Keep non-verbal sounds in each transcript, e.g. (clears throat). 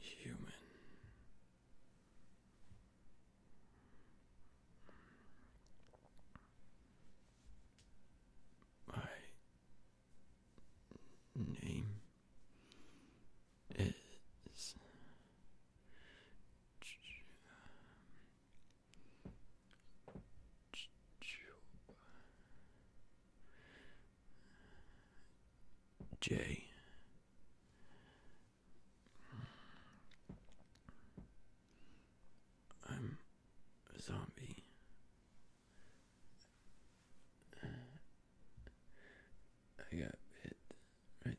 Human. My name is J. I'm a zombie. I got it right there.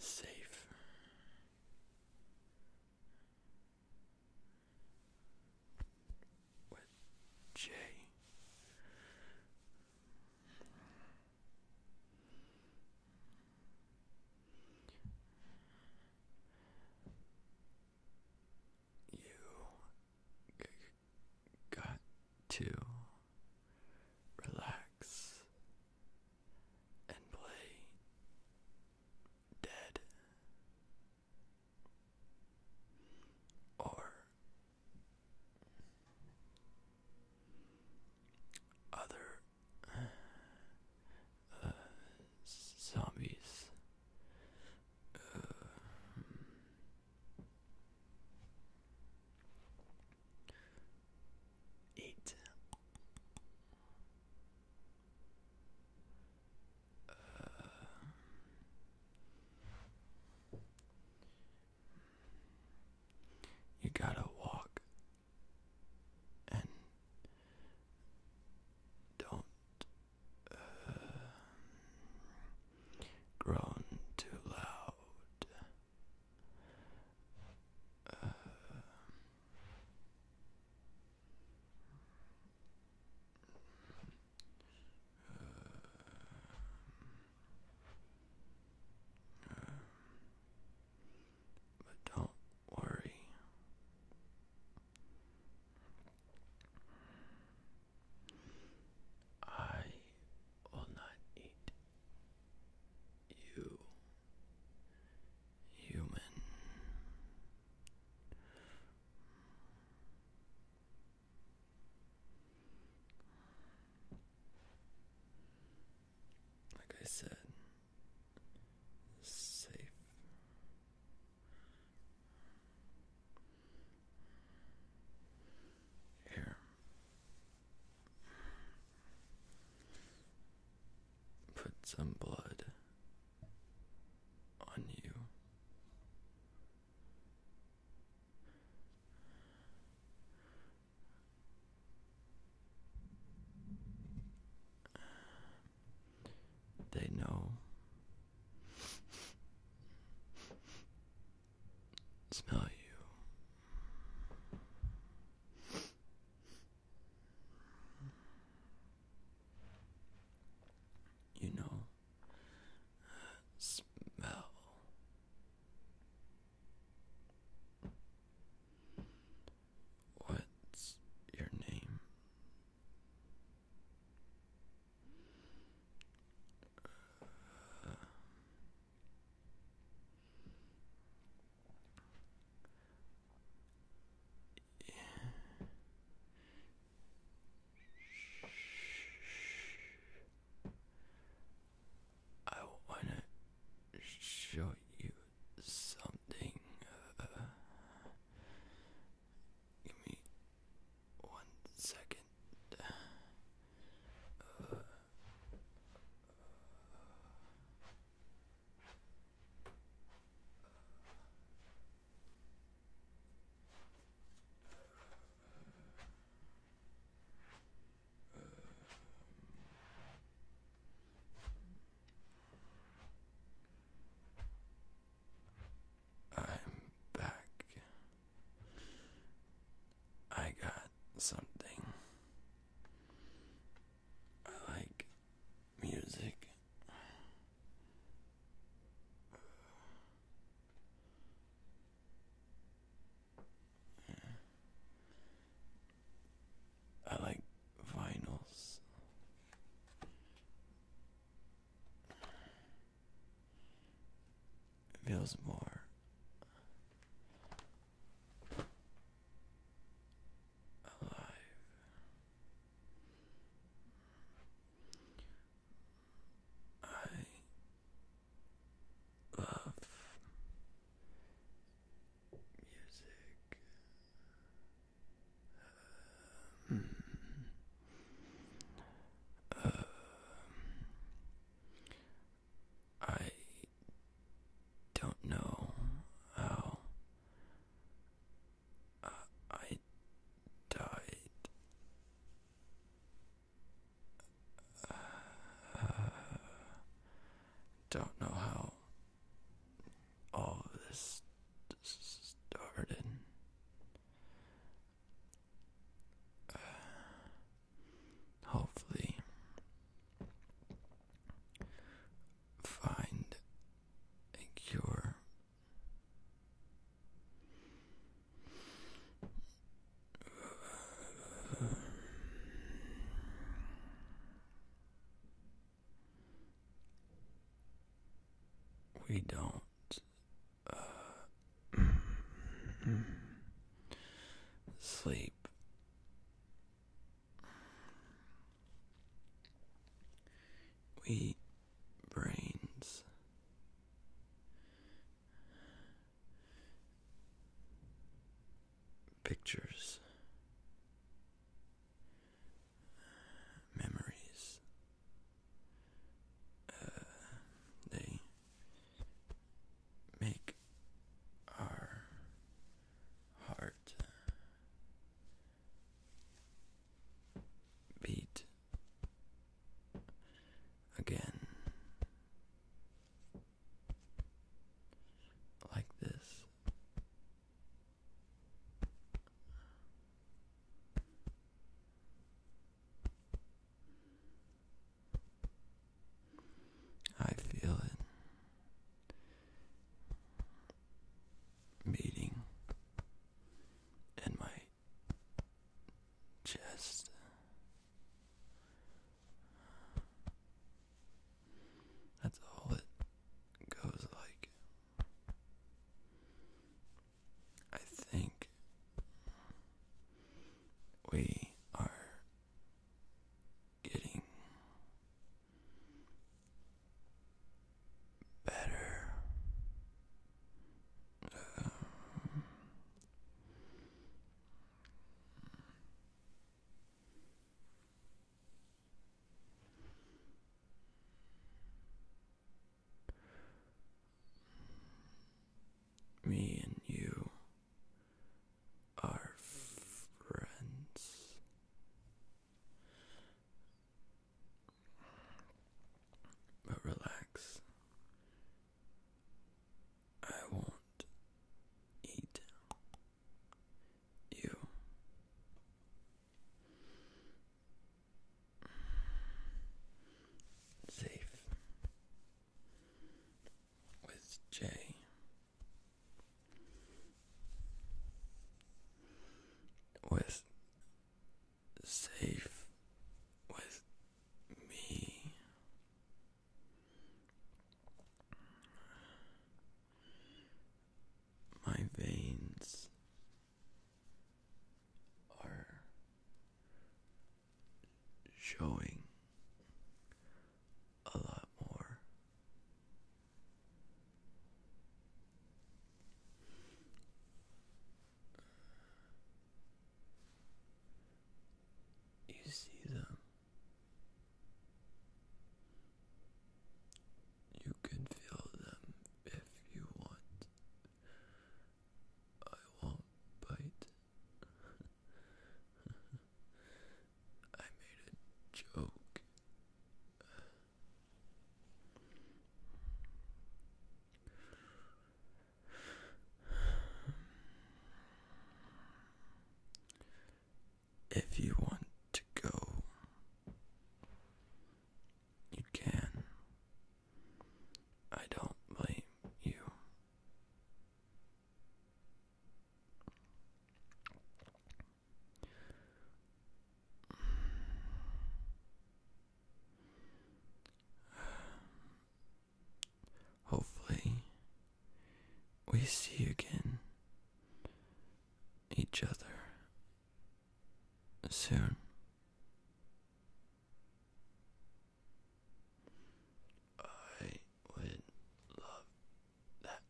Safe. With J. You got to relax and play dead or other zombies. Uh, uh, you gotta walk and don't uh, too loud. uh, uh, uh but don't worry. I will not eat you, human like I said, safe. Here. Put some blood on you. They know. Smell you. You know, smell What's your name? Uh, I wanna show you something. Uh, give me one second. Uh, I'm back. I got something. I like music. I like vinyls. It feels more alive. I of music. Um, I don't know how I died. Uh, don't know how all this started. Uh, hopefully, find a cure. We don't. Uh, (clears throat) sleep. We brains pictures, memories. Uh, they make our heart beat again. Like this. I feel it meeting in my just that's all it goes like. I think we are getting better. Um, me and you are friends. But relax, I won't eat you. Safe with Jay. With safe with me. My veins are showing a lot more. You see them. You can feel them if you want. I won't bite. (laughs) I made a joke. If you want to go, you can. I don't blame you. Hopefully, we see again each other soon. I would love that.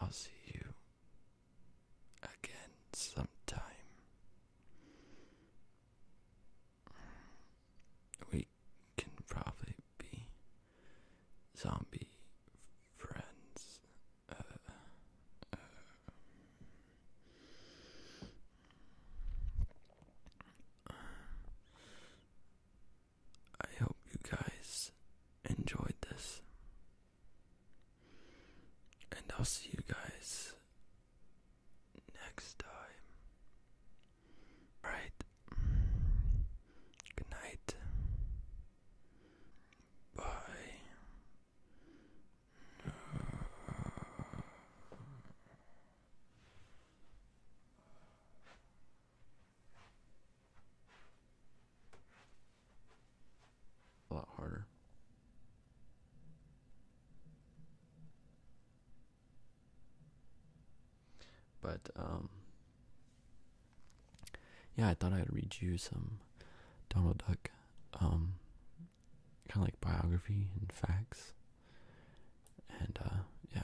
I'll see you again sometime. We can probably be zombie friends. Uh, uh. I hope you guys enjoyed this. And I'll see you guys next time. All right. Good night. Bye a lot harder. But um yeah, I thought I'd read you some Donald Duck um kind of like biography and facts. And uh yeah,